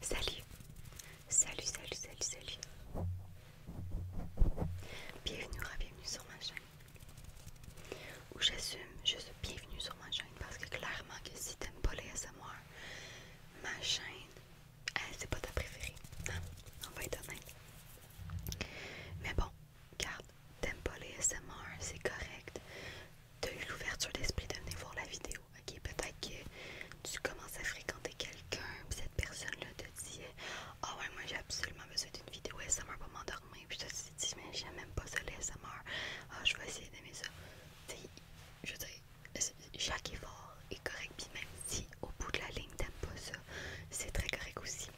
Salut, salut, salut, salut, salut. Bienvenue, bienvenue sur ma chaîne. Ou j'assume je suis bienvenue sur ma chaîne parce que clairement que si t'aimes pas les SMR, ma chaîne, elle hein, c'est pas ta préférée. Hein, on va être honnête. Mais bon, garde, t'aimes pas les SMR, c'est correct tu eu l'ouverture d'esprit de venir voir la vidéo. Ok, peut-être que tu commences à fréquenter quelqu'un, cette personne-là te dit Ah ouais, moi j'ai absolument besoin d'une vidéo SMR pour m'endormir, puis tu te dis Mais j'aime même pas ça, les SMR. Ah, je vais essayer d'aimer ça. Tu je veux dire, chaque effort est correct, puis même si au bout de la ligne t'aimes pas ça, c'est très correct aussi.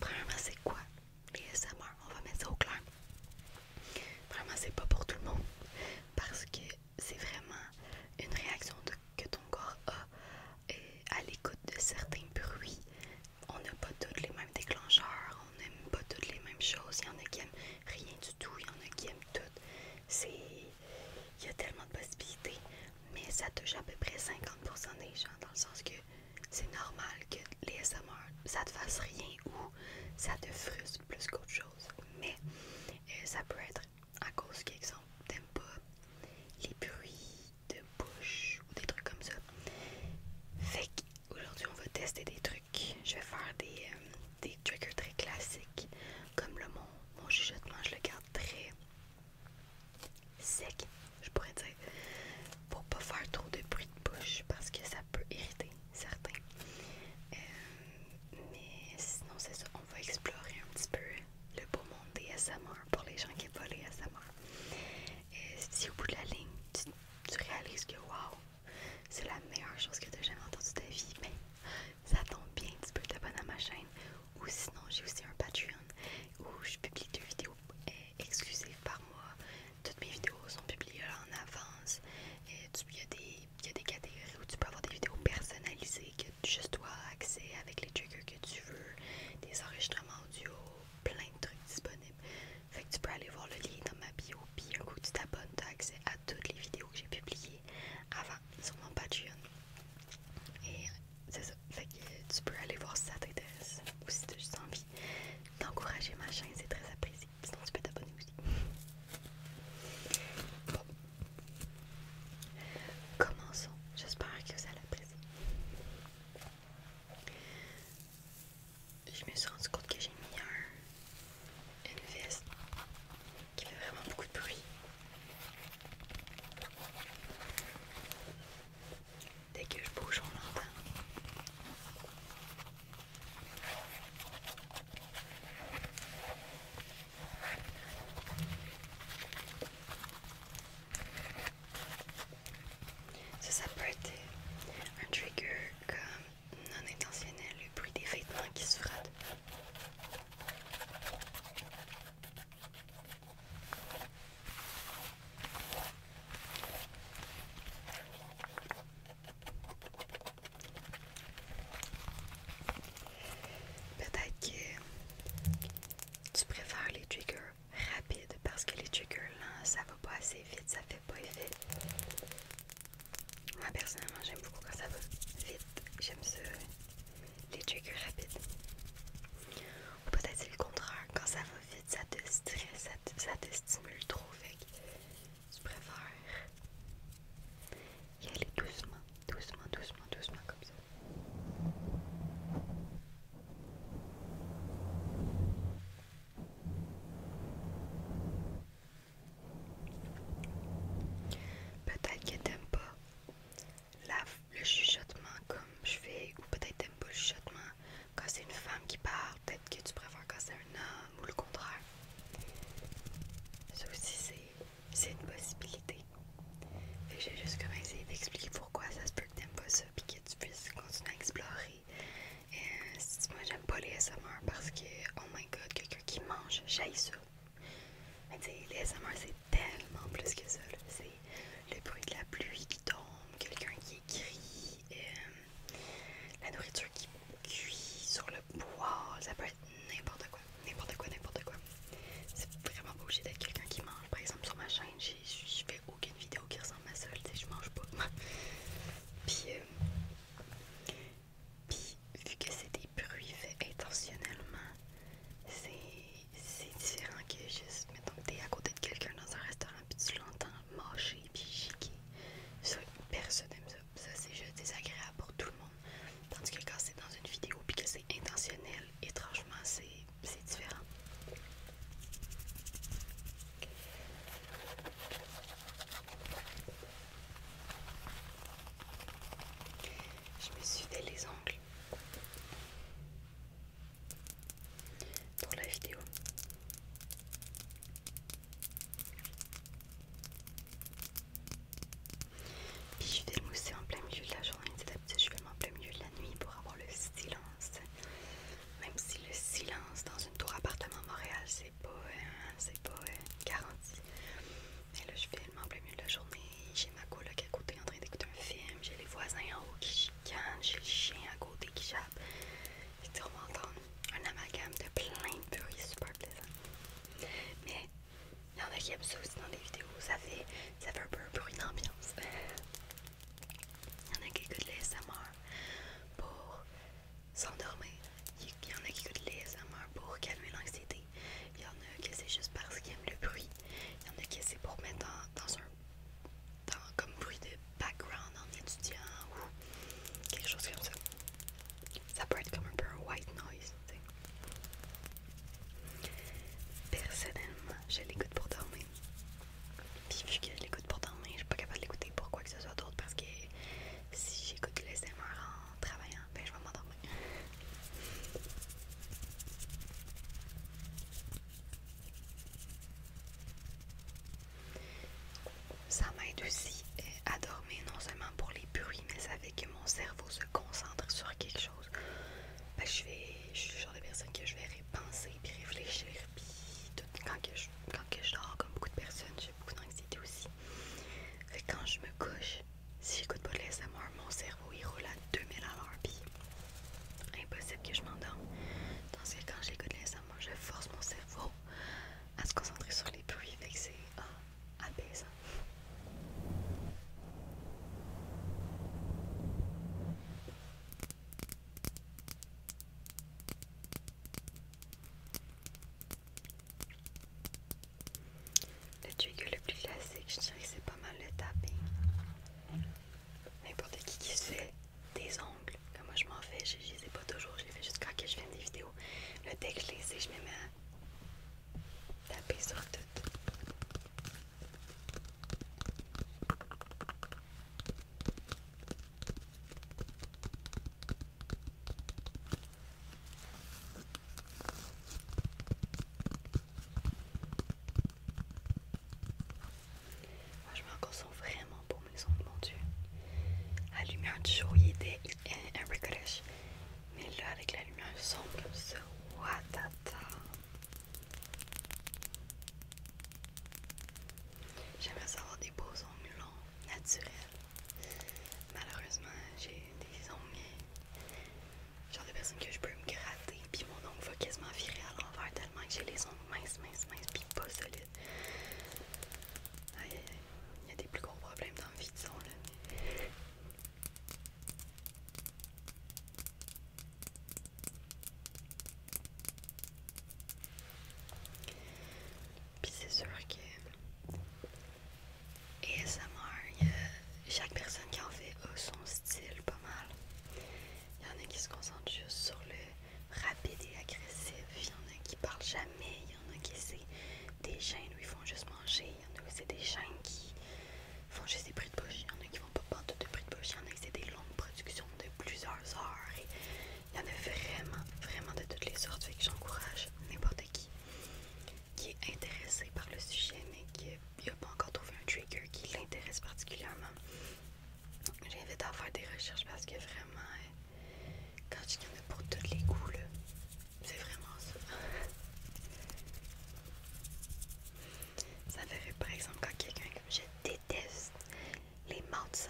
Premièrement, c'est quoi les SMR, on va mettre ça au clair. Vraiment, c'est pas pour tout le monde parce que c'est vraiment une réaction que ton corps a euh, à l'écoute de certains bruits. On n'a pas tous les mêmes déclencheurs, on n'aime pas toutes les mêmes choses. Il y en a qui aiment rien du tout, il y en a qui aiment tout. Il y a tellement de possibilités, mais ça touche à peu près 50% des gens dans le sens que c'est normal que les SMR, ça te fasse rien ou ça te frustre plus qu'autre chose. Mais euh, ça peut être à cause qu'exemple, t'aimes pas les bruits de bouche ou des trucs comme ça. Fait qu'aujourd'hui, on va tester des trucs. Je vais faire euh, des, triggers très classiques. Comme le mon, mon chuchotement, je le garde très sec, je pourrais dire, pour pas faire trop de bruit de bouche parce que ça peut irriter. Certains, euh, mais sinon, c'est ça, on va explorer un petit peu le beau monde des SMR pour les gens qui aiment pas les SMR. si au bout de la ligne, tu, réalises que waouh, c'est la meilleure chose que tu jamais entendue de ta vie, mais ça tombe bien, tu peux t'abonner à ma chaîne. Ou sinon, j'ai aussi un Patreon où je publie deux vidéos euh, exclusives par mois toutes mes vidéos sont publiées en avance. Il y, a des catégories où tu peux avoir des vidéos personnalisées que juste toi accès avec les triggers que tu veux, des enregistrements audio, plein de trucs disponibles. Fait que tu peux aller voir le lien dans ma bio, puis un coup tu t'abonnes, tu as accès à toutes les vidéos que j'ai publiées avant sur mon Patreon. Et c'est ça. Fait que tu peux aller voir si ça t'intéresse ou si tu as juste envie d'encourager ma chaîne, c'est très apprécié sinon tu peux t'abonner aussi. Bon. Commençons, j'espère que vous allez apprécier. Je me suis rendu compte que j'ai mis un, une veste qui fait vraiment beaucoup de bruit. Dès que je bouge, on l'entend. Ça, ça peut être un trigger comme non intentionnel, le bruit des vêtements qui se frottent. Peut-être que tu préfères les triggers rapides parce que les triggers lents, ça va pas assez vite, ça fait pas effet. Moi personnellement, j'aime beaucoup quand ça va vite. J'aime ça, les triggers rapides. Ou peut-être c'est le contraire, quand ça va vite, ça te stresse, ça te, stimule trop. vite je préfère y aller doucement, doucement, doucement, doucement comme ça. Peut-être que t'aimes pas la, le chuchotement comme je fais, ou peut-être t'aimes pas le chuchotement quand c'est une femme qui parle peut-être que tu préfères casser un homme ou le contraire. Ça aussi, c'est une possibilité. Fait que j'ai juste commencé essayé d'expliquer pourquoi ça se peut que t'aimes pas ça puis que tu puisses continuer à explorer. Et euh, moi j'aime pas les SMR parce que, oh my god, quelqu'un qui mange, j'aille ça. Mais tu sais, les SMR c'est tellement plus que ça. C'est le bruit de la pluie qui tombe, quelqu'un qui écrit, Et... Euh, la nourriture qui cuit sur le bois ça peut être n'importe quoi, n'importe quoi, n'importe quoi. C'est vraiment pas obligé d'être quelqu'un qui mange. Par exemple, sur ma chaîne, je fais aucune vidéo qui ressemble à ça, tu sais, je mange pas. puis, euh, puis, vu que c'est des bruits faits intentionnellement, c'est différent que juste, mettons que t'es à côté de quelqu'un dans un restaurant puis tu l'entends mâcher puis chiquer. Ça, personne n'aime ça ça, c'est juste désagréable pour tout le monde. Tandis que quand c'est dans une vidéo et que c'est intentionnel, étrangement, c'est différent. Je me suis fait les ongles pour la vidéo. Puis je vais le en plein milieu de la journée. D'habitude, je filme en plein milieu de la nuit pour avoir le silence. Même si le silence dans une tour appartement à Montréal, c'est pas, hein, c'est pas hein, garanti. Mais là, je filme en plein milieu de la journée. J'ai ma coloc à côté en train d'écouter un film. J'ai les voisins en haut qui chicanent. J'ai le chien à côté qui chassent. Et on va entendre un amalgame de plein de bruits super plaisants Mais il y en a qui aiment ça aussi dans les vidéos, ça fait, ça fait un peu un bruit d'ambiance. Il y en a qui écoutent les SMR pour s'endormir. Il y en a qui écoutent les SMR pour calmer l'anxiété. Il y en a qui c'est juste parce qu'ils aiment le bruit. Il y en a qui c'est pour mettre dans, un comme bruit de background en étudiant ou quelque chose comme ça. Ça peut être comme un peu un white noise, Personnellement, je l'écoute pour dormir. Puis vu que je l'écoute pour dormir, je suis pas capable de l'écouter pour quoi que ce soit d'autre parce que si j'écoute les SMR en travaillant, ben je vais m'endormir. Ça m'aide aussi eh, à dormir, non seulement pour les bruits, mais ça fait que mon cerveau se concentre sur quelque chose. Ben, je, suis genre de personne que je vais penser puis réfléchir. Puis quand, que je, dors, comme beaucoup de personnes, j'ai beaucoup d'anxiété aussi. quand je me couche, si j'écoute pas de l'SMR, mon cerveau il roule à 2000 à l'heure. Puis impossible que je m'endorme. Donc que quand j'écoute laisser-moi, je force mon cerveau à se concentrer sur les bruits, fait que c'est oh, Le trigger le plus classique, je dirais que c'est pas mal le tapping. N'importe qui qui se fait des ongles, comme moi je m'en fais, je les ai pas toujours, je les fais ce que je vienne des vidéos le texte, je je mets à tapis sur tout. je m'en vraiment les ongles, mon dieu. La lumière du jour, il était un peu Mais là, avec la lumière sombre comme ça, J'aimerais savoir des beaux ongles longs, naturels. Malheureusement, j'ai des ongles. Genre de personnes que je peux me gratter, puis mon ongle va quasiment virer à l'envers tellement que j'ai les ongles minces, minces, minces, puis pas solides. Aïe il y a des plus gros problèmes dans le vide son là. Puis c'est sûr que ASMR, chaque personne qui en fait a son style pas mal. Il y en a qui se concentrent juste sur le rapide et agressif, il y en a qui parlent jamais, il y en a qui c'est des chaînes où ils font juste manger, il y en a où des chaînes qui font juste des prix de bouche, il y en a qui font pas prendre de prix de bouche, il y en a qui c'est des longues productions de plusieurs heures il y en a vraiment, vraiment de toutes les sortes, j'encourage n'importe qui qui est intéressé par le sujet mais qui n'a pas encore trouvé un trigger qui l'intéresse particulièrement. J'invite à faire des recherches parce que vraiment euh, quand tu y en pour tous les goûts, c'est vraiment ça. ça par exemple quand quelqu'un comme je déteste les mots de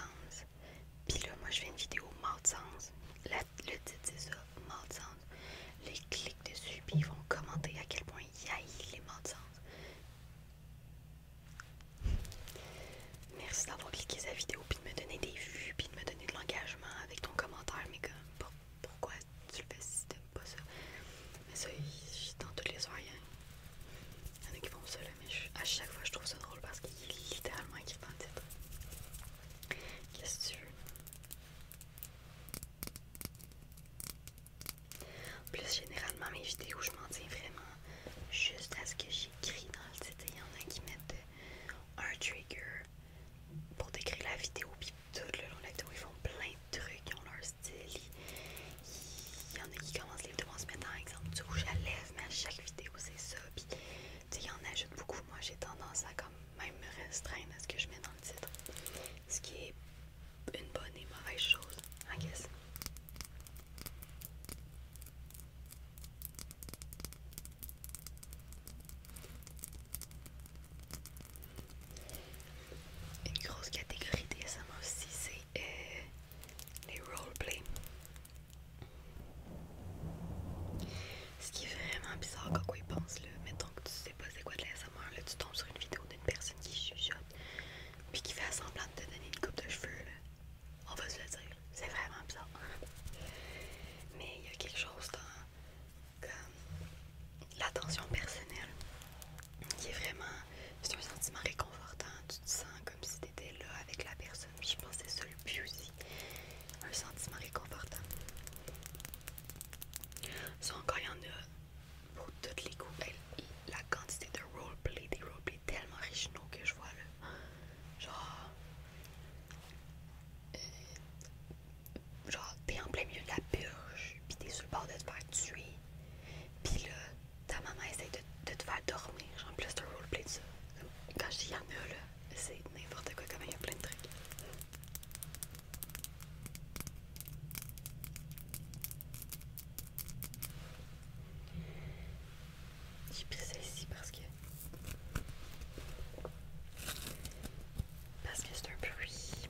Puis là, moi je fais une vidéo mots sens. le titre c'est ça, mots de Les clics dessus, puis ils vont commenter à quel point ils les Morts de sens. Merci d'avoir cliqué sa vidéo, puis de me donner des vues, puis de me donner de l'engagement avec ton commentaire. Mais comme, pourquoi tu le fais si t'aimes pas ça? Mais ça, dans toutes les soirs, il a qui font ça, mais à chaque fois, je trouve ça drôle parce qu'il est littéralement écrit dans le titre. Qu'est-ce que tu veux? plus, généralement, mes vidéos, je m'en tiens vraiment juste à ce que j'écris dans le titre. Il y en a qui mettent un trigger, pour décrire la vidéo, puis tout le long de la vidéo, ils font plein de trucs, ils ont leur style. Il y en a qui commencent les deux, en se exemple, du rouge à lèvres, mais à chaque vidéo, c'est ça. Puis, tu sais, il y en ajoute beaucoup. Moi, j'ai tendance à comme même me restreindre à ce que je mets dans le titre, ce qui est une bonne et mauvaise chose, je une grosse catégorie Des SMR aussi, c'est euh, les roleplay Ce qui est vraiment bizarre quand on pensent pense, là. Mettons que tu sais pas c'est quoi de l'ASMR, là, tu tombes sur une vidéo d'une personne qui chuchote, puis qui fait semblant de te donner une coupe de cheveux, On va se le dire. C'est vraiment bizarre. Mais il y a quelque chose dans comme l'attention personnelle qui est vraiment. C'est un sentiment réconfortant. Tu te sens comme si tu étais là avec la personne. Je pense que c'est ça le but aussi. Un sentiment réconfortant. Ça encore, il y en a pour toutes les coups. La quantité de roleplay, des roleplays tellement originaux que je vois là. Genre, genre t'es en plein milieu de la purge, pis t'es sur le bord de te faire tuer. Pis là, ta maman essaie de, te faire dormir. Genre, plus de roleplay de ça. Quand j'y dis en là, c'est n'importe quoi, comme il y a plein de trucs. J'ai pris ça ici parce que parce que c'est un bruit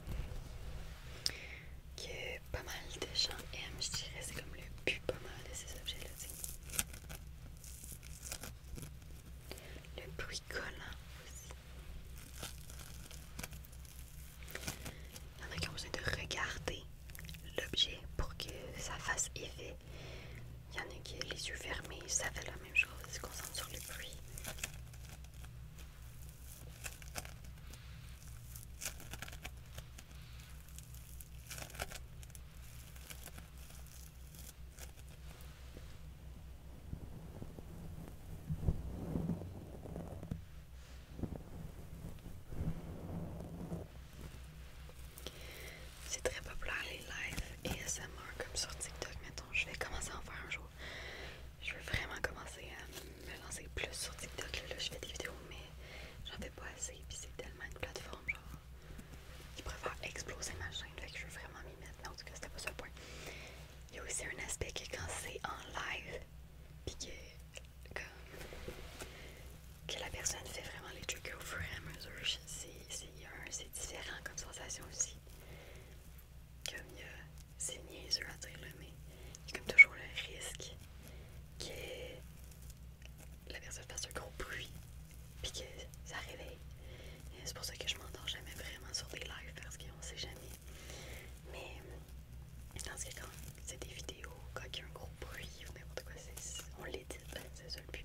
que pas mal de gens aiment, je dirais, c'est comme le but pas mal de ces objets-là, Le bruit collant aussi. Il y en a besoin de regarder l'objet pour que ça fasse effet il y en a qui les yeux fermés, ça fait la même chose, ils se concentrent sur le bruit. C'est très populaire les lives ASMR comme sur TikTok, mettons. Je vais commencer à en faire un jour. Je veux vraiment commencer à me lancer plus sur TikTok. Là, je fais des vidéos, mais j'en fais pas assez. Puis c'est tellement une plateforme, genre, qui pourrait exploser ma chaîne. Fait que je veux vraiment m'y mettre. Mais en tout cas, c'était pas sur le point. Il y a aussi un aspect qui quand c'est en live, puis que, que la personne fait vraiment les trucs au fur et à mesure, c'est différent comme sensation aussi. Comme il y a, c'est niaiseux à dire, là, mais il y a comme toujours le risque que la personne fasse un gros bruit, puis que ça réveille. C'est pour ça que je m'endors jamais vraiment sur des lives, parce qu'on sait jamais. Mais, dans ce cas, quand c'est des vidéos, quand il y a un gros bruit ou n'importe quoi, on l'édite, ben, c'est ça le but.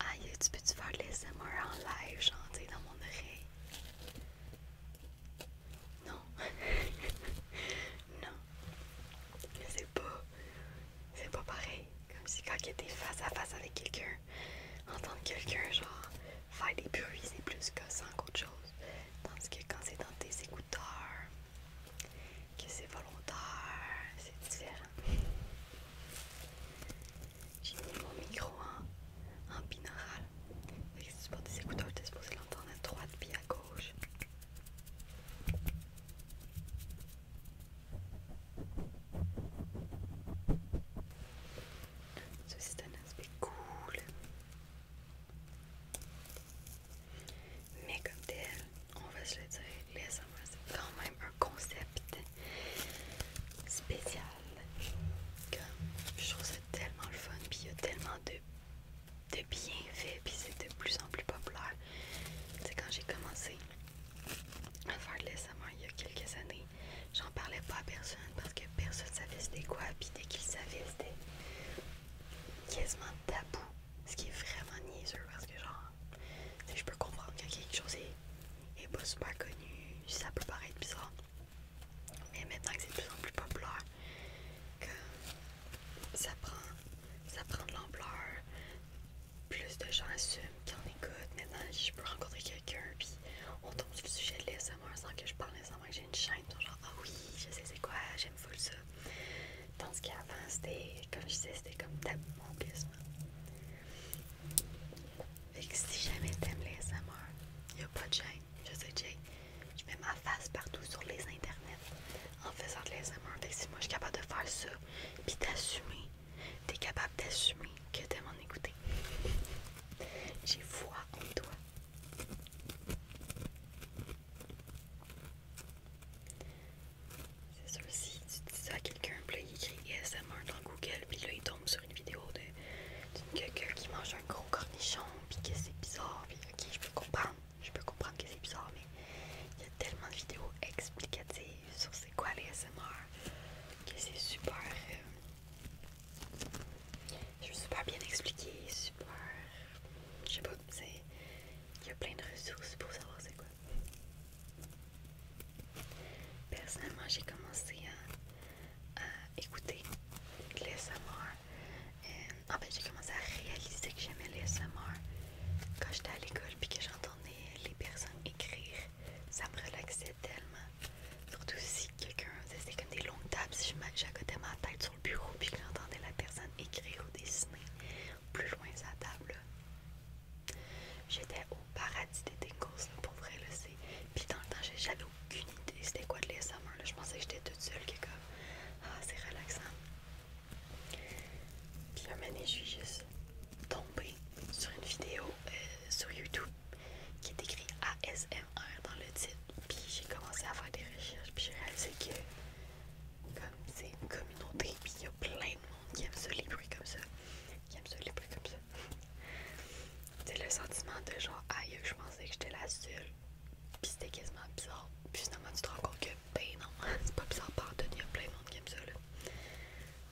ah, tu peux-tu faire les MR en live, genre, dans mon oreille Non. non. C'est pas. C'est pas pareil. Comme si quand tu étais face à face avec quelqu'un, entendre quelqu'un, genre, faire des bruits, c'est plus que ça, qu'autre chose. Tandis que quand c'est dans tes écouteurs, que c'est volontaire, c'est différent. J'ai mis mon micro en, en binaural. C'est pour des écouteurs, t'es supposé l'entendre à droite puis à gauche. c'est un aspect cool. Mais comme tel, on va se le dire, les c'est quand même un concept spécial je trouve ça tellement le fun, puis il y a tellement de, de bienfaits, puis c'est de plus en plus populaire. C'est quand j'ai commencé à faire de l'SMR il y a quelques années, j'en parlais pas à personne parce que personne savait c'était quoi, puis dès qu'ils savaient, c'était quasiment tabou. Ce qui est vraiment niaiseux parce que, genre, je peux comprendre que quelque chose est et pas super connu, ça peut paraître bizarre. Mais maintenant que c'est de plus en plus populaire, que ça prend, de l'ampleur, plus de gens assument qu'ils en écoutent. Maintenant, je peux rencontrer quelqu'un, puis on tombe sur le sujet de l'ASMR sans que je parle sans que j'ai une chaîne. genre, ah oui, je sais c'est quoi, j'aime full ça. Tandis qu'avant, c'était, comme je disais, c'était comme mon quasiment. Fait que si jamais t'aimes les SMR, y a pas de gêne. Je sais, Jay, je mets ma face partout sur les internets en faisant de l'ASMR. Fait que si moi je suis capable de faire ça, puis t'assumer, t'es capable d'assumer que t'aimes en écouter. J'ai foi en toi. C'est sûr, si tu dis ça à quelqu'un, là, il écrit smr dans Google, puis là, il tombe sur une vidéo de, de qui mange un gros cornichon, puis que c'est bizarre, puis ok, je peux comprendre, je peux comprendre que c'est bizarre, mais il y a tellement de vidéos explicatives sur c'est quoi les SMR que c'est super. Euh, je veux super bien expliqué, super. Je sais pas, c'est. Il y a plein de ressources pour savoir c'est quoi. Personnellement, j'ai commencé à, écouter les SMR. En fait, j'ai commencé à réaliser que j'aimais les quand j'étais à l'école puis que j'entendais les personnes écrire. Ça me relaxait tellement. Surtout si quelqu'un faisait comme des longues tables, si j'accotais ma tête sur le bureau et que j'entendais la personne écrire ou dessiner plus loin de sa table. J'étais au paradis des tingles, pour vrai, puis dans le temps, j'avais aucune idée c'était quoi de l'ASMR. Je pensais que j'étais toute seule qui est comme Ah, c'est relaxant. Puis un moment je suis juste tombée sur une vidéo euh, sur YouTube qui est écrit ASMR dans le titre. Puis j'ai commencé à faire des recherches, puis j'ai réalisé que comme c'est une communauté, puis il y a plein de monde qui aime se les comme ça. Qui aime comme ça. C'est le sentiment de genre, aïe, je pensais que j'étais la seule. Puis c'était quasiment bizarre. Puis finalement, tu te rends compte que, ben non, c'est pas bizarre, par il y a plein de monde qui aime ça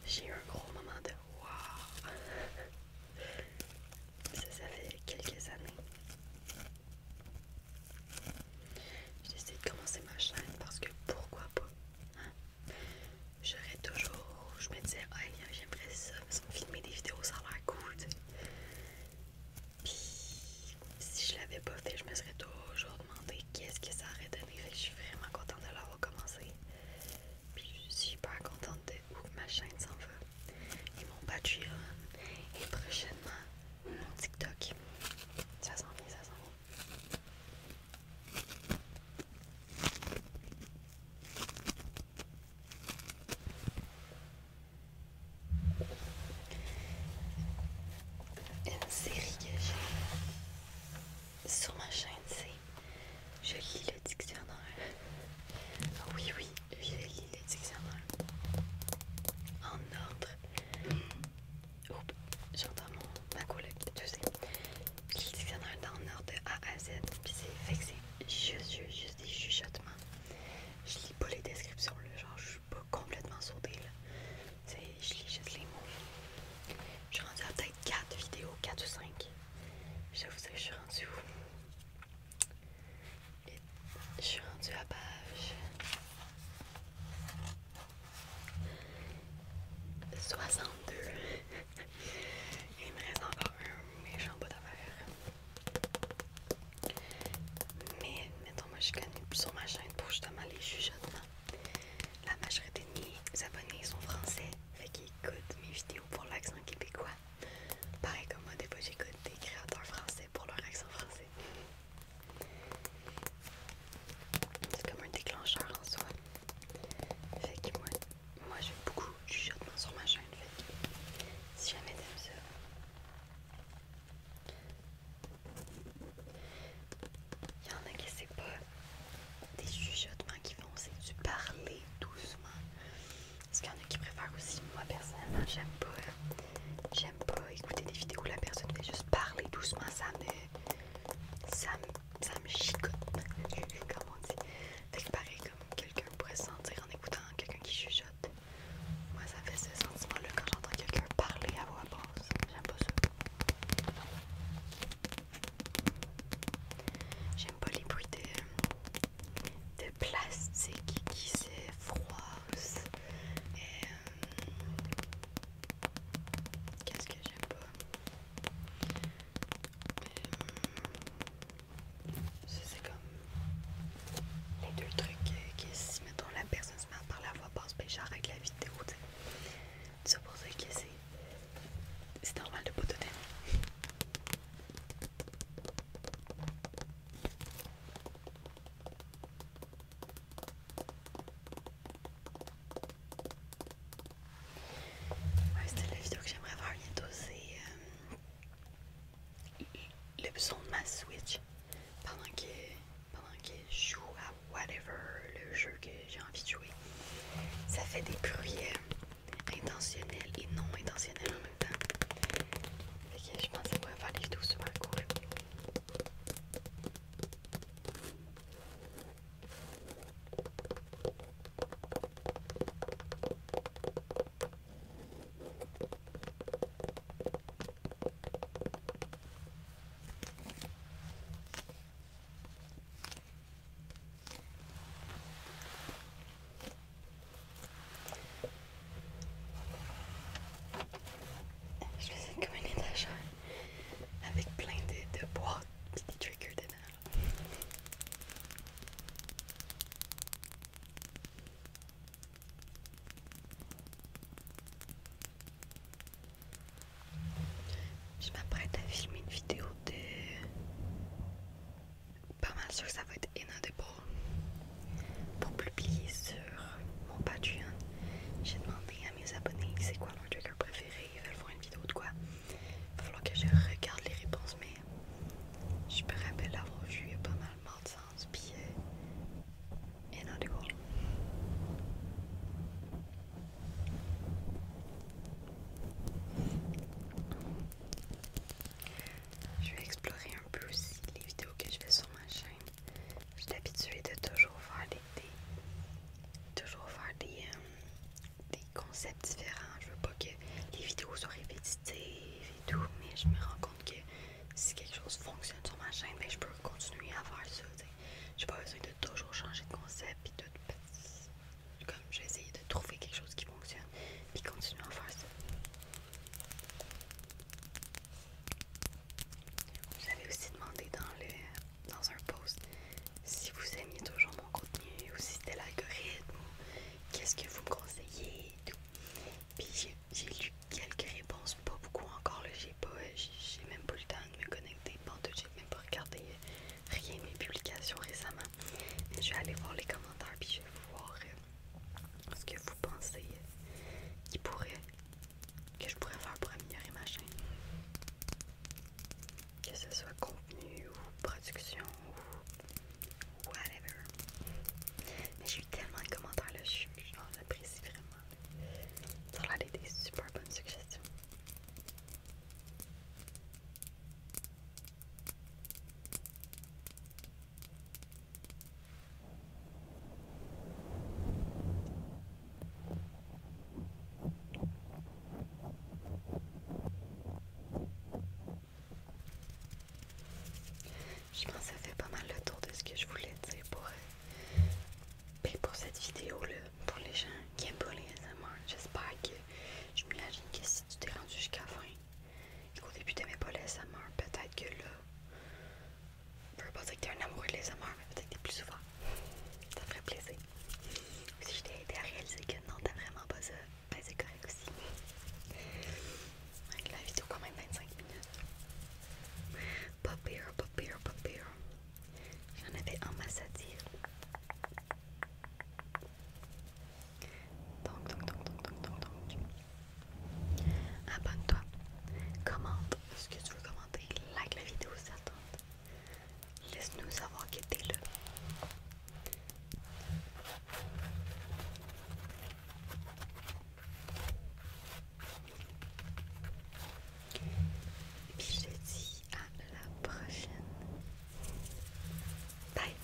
J'ai eu un gros moment de waouh! Ça, ça fait quelques années. J'ai décidé de commencer ma chaîne parce que pourquoi pas? Hein? J'aurais toujours, je me disais, j'aimerais ça, me filmer des vidéos, sans leur l'air Puis, si je l'avais pas fait, je me serais toujours demandé qu'est-ce que ça aurait donné. je suis vraiment contente de l'avoir commencé. Puis, je suis super contente de où ma chaîne s'en va. Et mon Patreon. Et prochainement, mon TikTok. Ça s'en vient, ça s'en vient. Une série que j'ai sur ma chaîne, c'est Je lis le dictionnaire. Ah oui, oui, je lis le dictionnaire. En ordre. Oups, j'entends ma collègue, je sais. Je lis le dictionnaire dans l'ordre de A à Z. Puis c'est fixé juste, juste, des chuchotements. Je lis pas les descriptions, là, genre je suis pas complètement sautée là. sais, je lis juste les mots. Je suis rendue à peut-être 4 vidéos, 4 ou 5. J'avoue que je suis rendue où? je suis rendue à page 62. Il me reste encore un méchant bout d'affaires. Mais, mettons, moi je suis sur ma chaîne pour justement les chuchotements. La majorité de mes abonnés sont français, fait qu'ils écoutent mes vidéos pour l'accent québécois. Pareil comme moi, des fois j'écoute des créateurs français pour leur accent français. C'est comme un déclencheur en soi. Fait qu'ils m'ont moi j'aime beaucoup chuchotements sur ma chaîne. Si jamais t'aimes ça, il y en a qui c'est pas des chuchotements qui font, c'est du parler doucement. Parce qu'il y en a qui préfèrent aussi, moi personnellement, j'aime pas. J'aime pas écouter des vidéos où la personne fait juste parler doucement, ça me. ça me, chicote, comme on dit quelqu'un pourrait sentir en écoutant quelqu'un qui chuchote. Moi, ça fait ce sentiment-là quand j'entends quelqu'un parler à voix basse. J'aime pas ça. J'aime pas les bruits de, de plastique qui s'effroissent. Et euh, Qu'est-ce que j'aime pas? Euh, c'est comme les deux trucs qui, si mettons la personne se met par la voix basse, ce ben, avec la vidéo, tu sais. C'est pour ça que c'est normal de pas Ouais, c'était la vidéo que j'aimerais faire bientôt, c'est euh, le son de ma Switch pendant que, je joue à whatever le jeu que j'ai envie de jouer. Ça fait des bruits euh, intentionnels et non intentionnels en même temps. je pense que ça pourrait faire des vidéos super cool. Je faisais comme une d'achat avec plein de, bois qui et des dedans. Je m'apprête à filmer une vidéo de... Pas mal sûr que ça va être inaudible pour publier sur mon Patreon. J'ai demandé à mes abonnés c'est quoi leur trigger préféré. Ils veulent voir une vidéo de quoi. Il va falloir que je regarde les réponses, mais je me rappelle avoir vu y a pas mal de sens, puis et non du coup. Je vais explorer un peu aussi les vidéos que je fais sur ma chaîne. Je suis habituée de toujours faire des, toujours faire des, euh, des concepts différents. Je veux pas que les vidéos soient répétitives et tout, mais je me rends compte que si quelque chose fonctionne sur ma chaîne, mais ben, je peux continuer à faire ça. J'ai pas besoin de toujours changer de concept et tout. Comme j'ai essayé de trouver quelque chose qui fonctionne, puis continuer à faire ça. Vous aussi demandé dans, dans un post si vous aimiez toujours mon contenu ou si c'était l'algorithme qu'est-ce que vous conseillez Puis j'ai lu quelques réponses, pas beaucoup encore, j'ai pas, j'ai même pas le temps de me connecter, tout, j'ai même pas regardé rien de mes publications récemment. je vais aller voir les commentaires puis je vais voir euh, ce que vous pensez euh, qui pourrait que je pourrais faire pour améliorer ma chaîne. Que ce soit contenu ou production whatever. Mais j'ai eu tellement de commentaires là, j'apprécie vraiment. Ça a l'air des super bonnes suggestions. Je pense que ça fait pas mal le tour de ce que je voulais dire pour, euh, ben, pour cette vidéo-là, pour les gens qui aiment pas les amours J'espère que, je m'imagine que si tu t'es rendu jusqu'à la fin, qu'au début t'aimais pas les ASMR, peut-être que là, je être pas dire que t'es un amoureux de les amours mais peut-être que t'es plus souvent. Ça ferait plaisir. Si je t'ai aidé à réaliser que non, t'as vraiment pas ça. Mais bah, c'est correct aussi. la vidéo quand même 25 minutes. Pas pire, pas pire, pas pire. J'en avais un masse à dire. Donc, donc, donc, donc, donc, donc, donc. Abonne-toi. Commente ce que tu veux commenter. Like la vidéo s'il ça tente. Laisse-nous savoir que t'es là. Et puis je te dis à la prochaine. Bye.